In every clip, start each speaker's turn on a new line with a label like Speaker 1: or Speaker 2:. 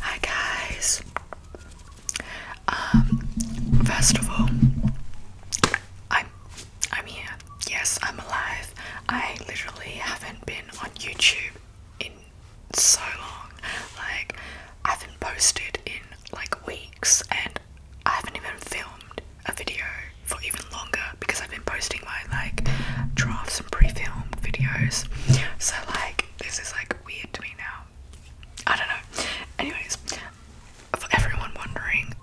Speaker 1: Hi guys. Um first I'm I'm here. Yes, I'm alive. I literally haven't been on YouTube in so long. Like I haven't posted in like weeks and I haven't even filmed a video for even longer because I've been posting my like drafts and pre-filmed videos. So like this is like weird to me now. I don't know. Anyways, for everyone wondering,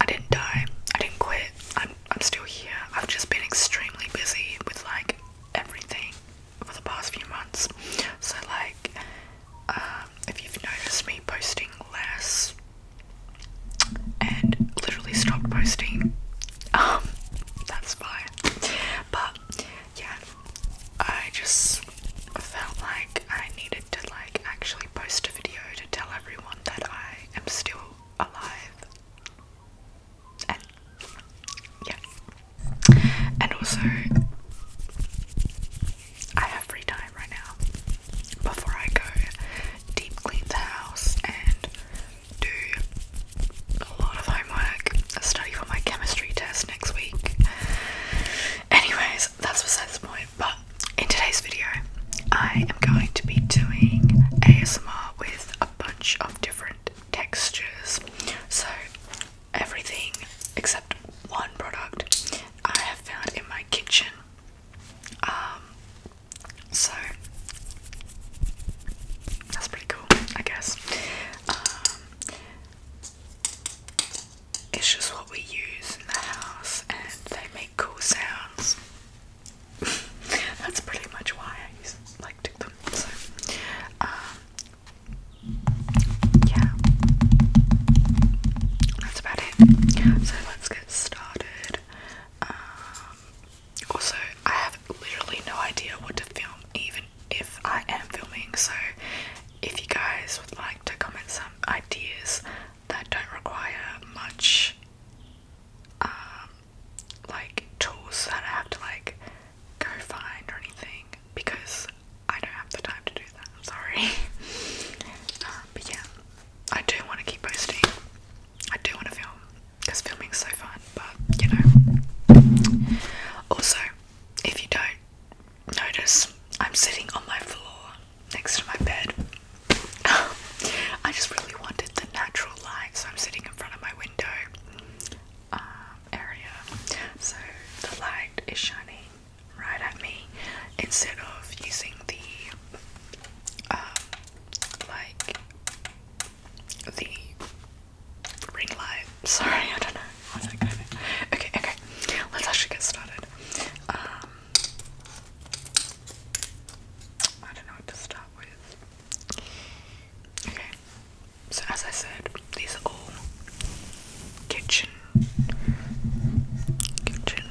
Speaker 1: I didn't die. I didn't quit. I'm I'm still here. I've just been extremely busy with like everything for the past few months. So like um, if you've noticed me posting less and literally stopped posting um, that's fine. But yeah, I just felt like I needed to like actually post a video to tell everyone that I am still alive. And yeah. And also I have free time right now before I go deep clean the house and do a lot of homework, study for my chemistry test next week. Anyways, that's besides the point. But in today's video, I am going to be doing ASMR with a bunch of different textures. So, everything except one product I have found in my kitchen. Um, so that's pretty cool, I guess. Um, it's just what we use in the house, and they make cool sounds. that's pretty much why I use like took them. So um, yeah, that's about it. So let's get started. Um, also, I have literally no idea what to film, even if I am filming. So, if you guys would like to comment some ideas that don't require much, um, like tools that I have to like go find or anything, because I don't have the time to do that. I'm sorry. Um, but yeah, I do want to keep posting. I do want to film because filming's so fun, but you know. Also, if you don't notice, I'm sitting on my floor next to my bed. I just really wanted the natural light, so I'm sitting in front of my window um, area. So the light is shining right at me instead of using the um, like the ring light. Sorry, I don't know. Okay, okay. Let's actually get started. Um, I don't know what to start with. Okay. So as I said, these are all kitchen kitchen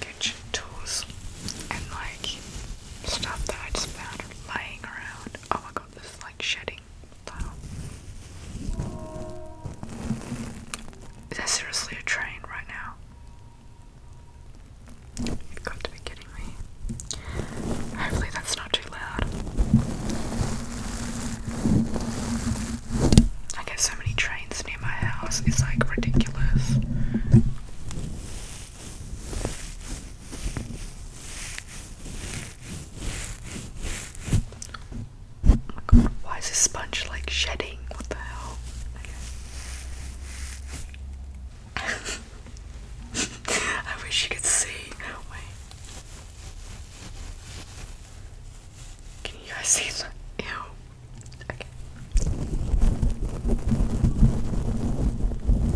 Speaker 1: kitchen tools and like stuff that I just found lying around. Oh my god, this is like shedding tile. Is there seriously a train right now? You've got to be kidding me. Hopefully that's not too loud. I get so many trains near my house, it's like ridiculous. Oh my god, why is this sponge like shedding? What the hell? I wish you could see. Can you guys see that? Ew.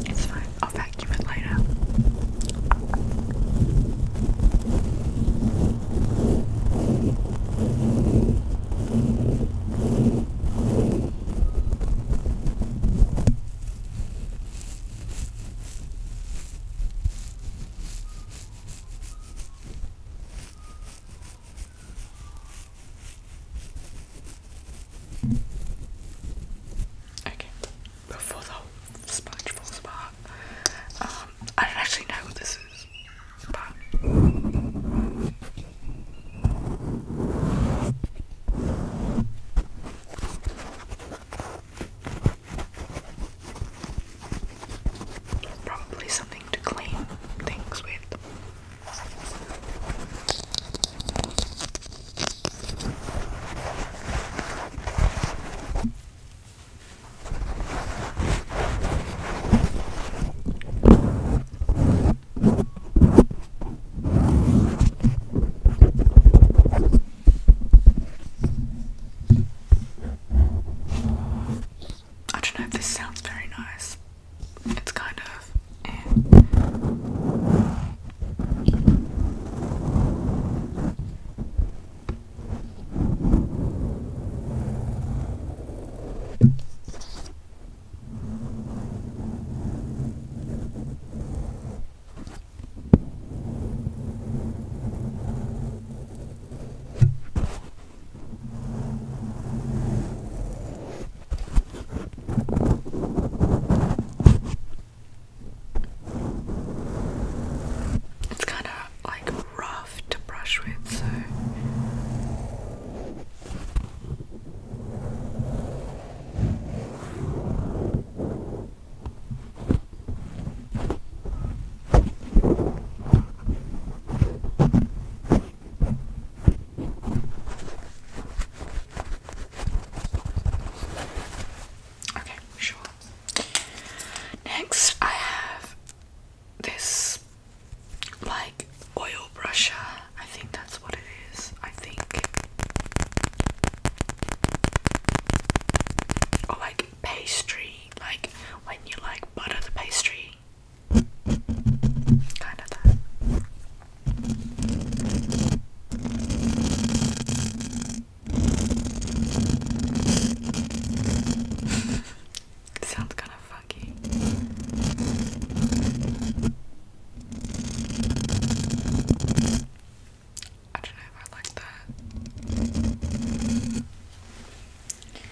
Speaker 1: It's fine. I'll vacuum it later. Okay, before the sponge falls apart, um, I don't actually know what this is, but. Probably something to clean things with. I don't know if this sounds very nice it's kind of. It's kind of like rough to brush with, so. Okay, sure. Next, I have this like oil brusher. I think that's what it is. I think. Or like pastry, like when you like butter the pastry Kind of that. Sounds kind of funky. I don't know if I like that.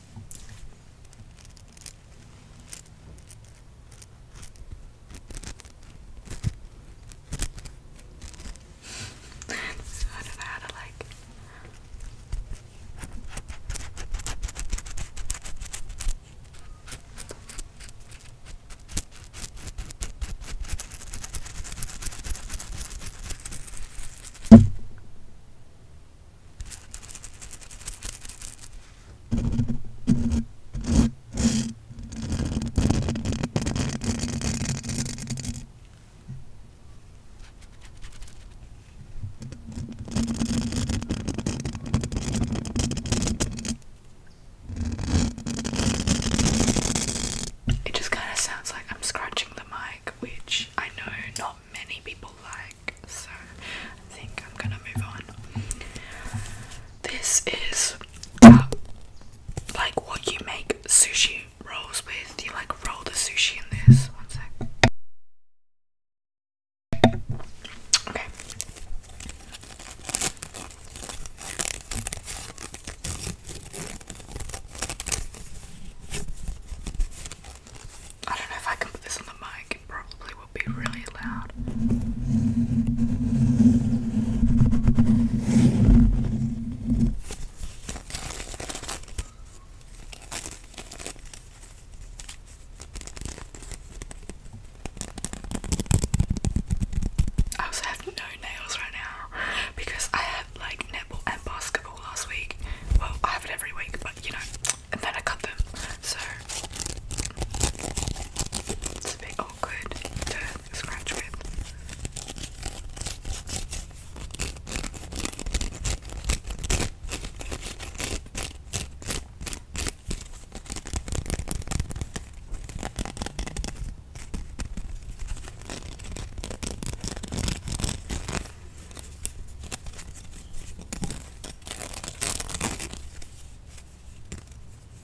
Speaker 1: so I don't know how to like. It just kind of sounds like I'm scratching the mic, which I know not many people like, so I think I'm gonna move on. This is like what you make sushi rolls with. You like roll the sushi in this. One sec. Okay. I don't know if I can put this on the mic, it probably will be really loud. I also have no nails right now because I had like netball and basketball last week. Well, I have it every week, but you know, and then I cut them, so it's a bit awkward to scratch with.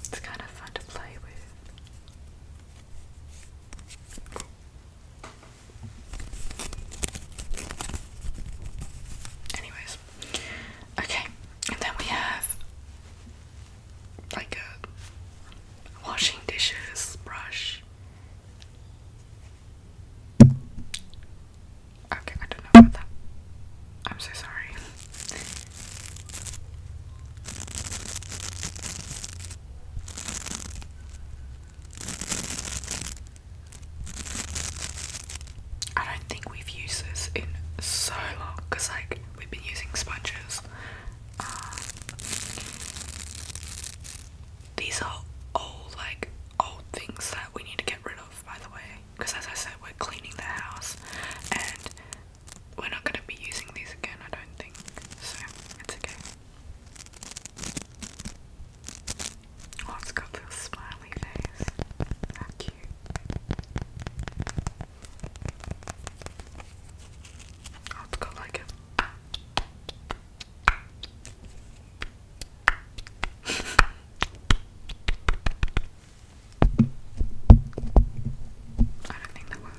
Speaker 1: It's kind of fun to play with. Anyways, okay, and then we have like a washing dishes brush. Okay, I don't know about that. I'm so sorry. I don't think we've used this in so long because, like, we've been using sponges. Um, these are all like old things that we need to get rid of, by the way, because as I said, we're cleaning the house and we're not going to be using these again, I don't think, so it's okay. Oh, it got little smiley face. How cute. Oh, it got like a. I don't think that works.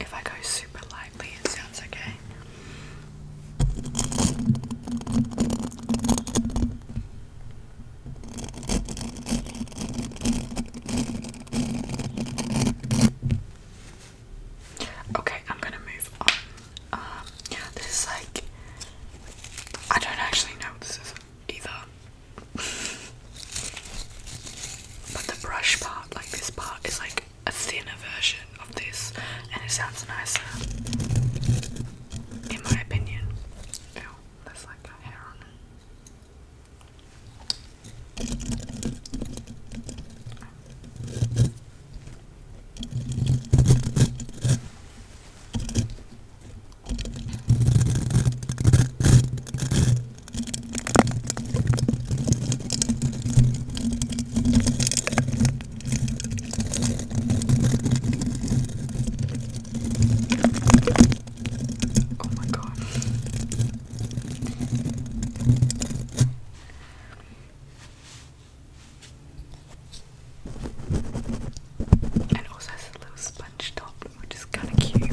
Speaker 1: If I go super light it sounds okay. I'm gonna move on. Um, this is like I don't actually know this either. but the brush part, like this part, is like a thinner version of this and it sounds nicer in my opinion. Ew, that's like hair on it. Oh my god. And also has a little sponge top, which is kind of cute.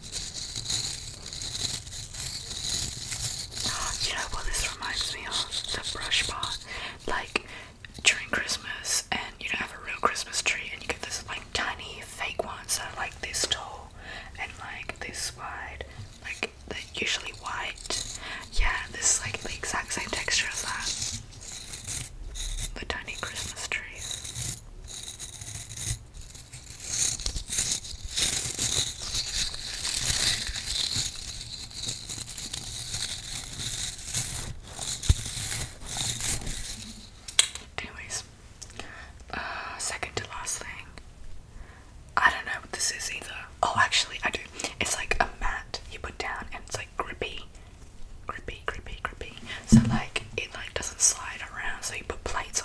Speaker 1: You know what this reminds me of? The brush bar. Like during Christmas and you don't have a real Christmas tree and you get this like tiny fake ones that are like this tall and like this wide. Like they're usually white. Yeah, this is like the exact same texture as that. The tiny Christmas trees. Anyways, uh, second to last thing. I don't know what this is either. Oh, actually, I do. It's like a mat you put down, and it's like grippy, grippy, grippy, grippy. So like it like doesn't slide around. So you put plates on.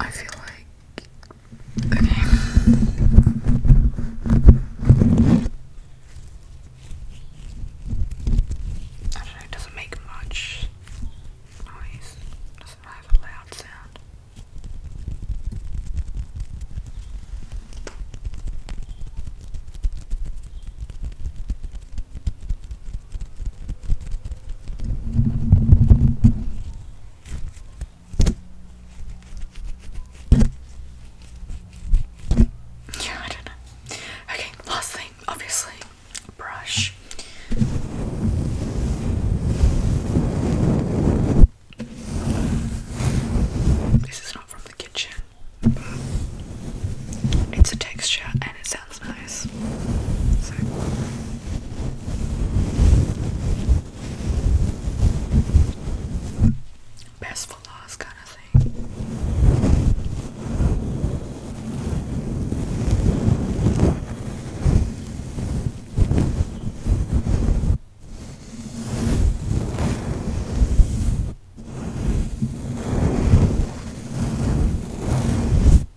Speaker 1: I feel like okay. I it doesn't make much noise. doesn't have a loud sound. Yeah, I don't know. Okay, last thing, obviously, brush. This is not from the kitchen. It's a texture and it's sounds nice. Best for last kind of thing.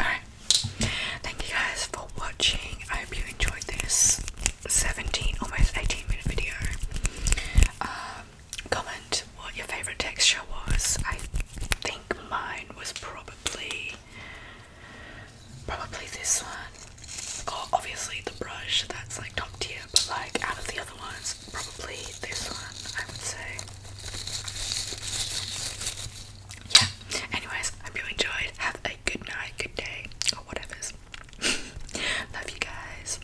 Speaker 1: Alright, thank you guys for watching. I hope you enjoyed this 17, almost 18 minute video. Uh, comment what your favorite texture was. I think mine was probably probably this one. Or obviously the brush that's like top tier, but like out of the other ones, probably this one, I would say. Yeah. Anyways, I hope you enjoyed. Have a good night, good day, or whatever's. Love you guys.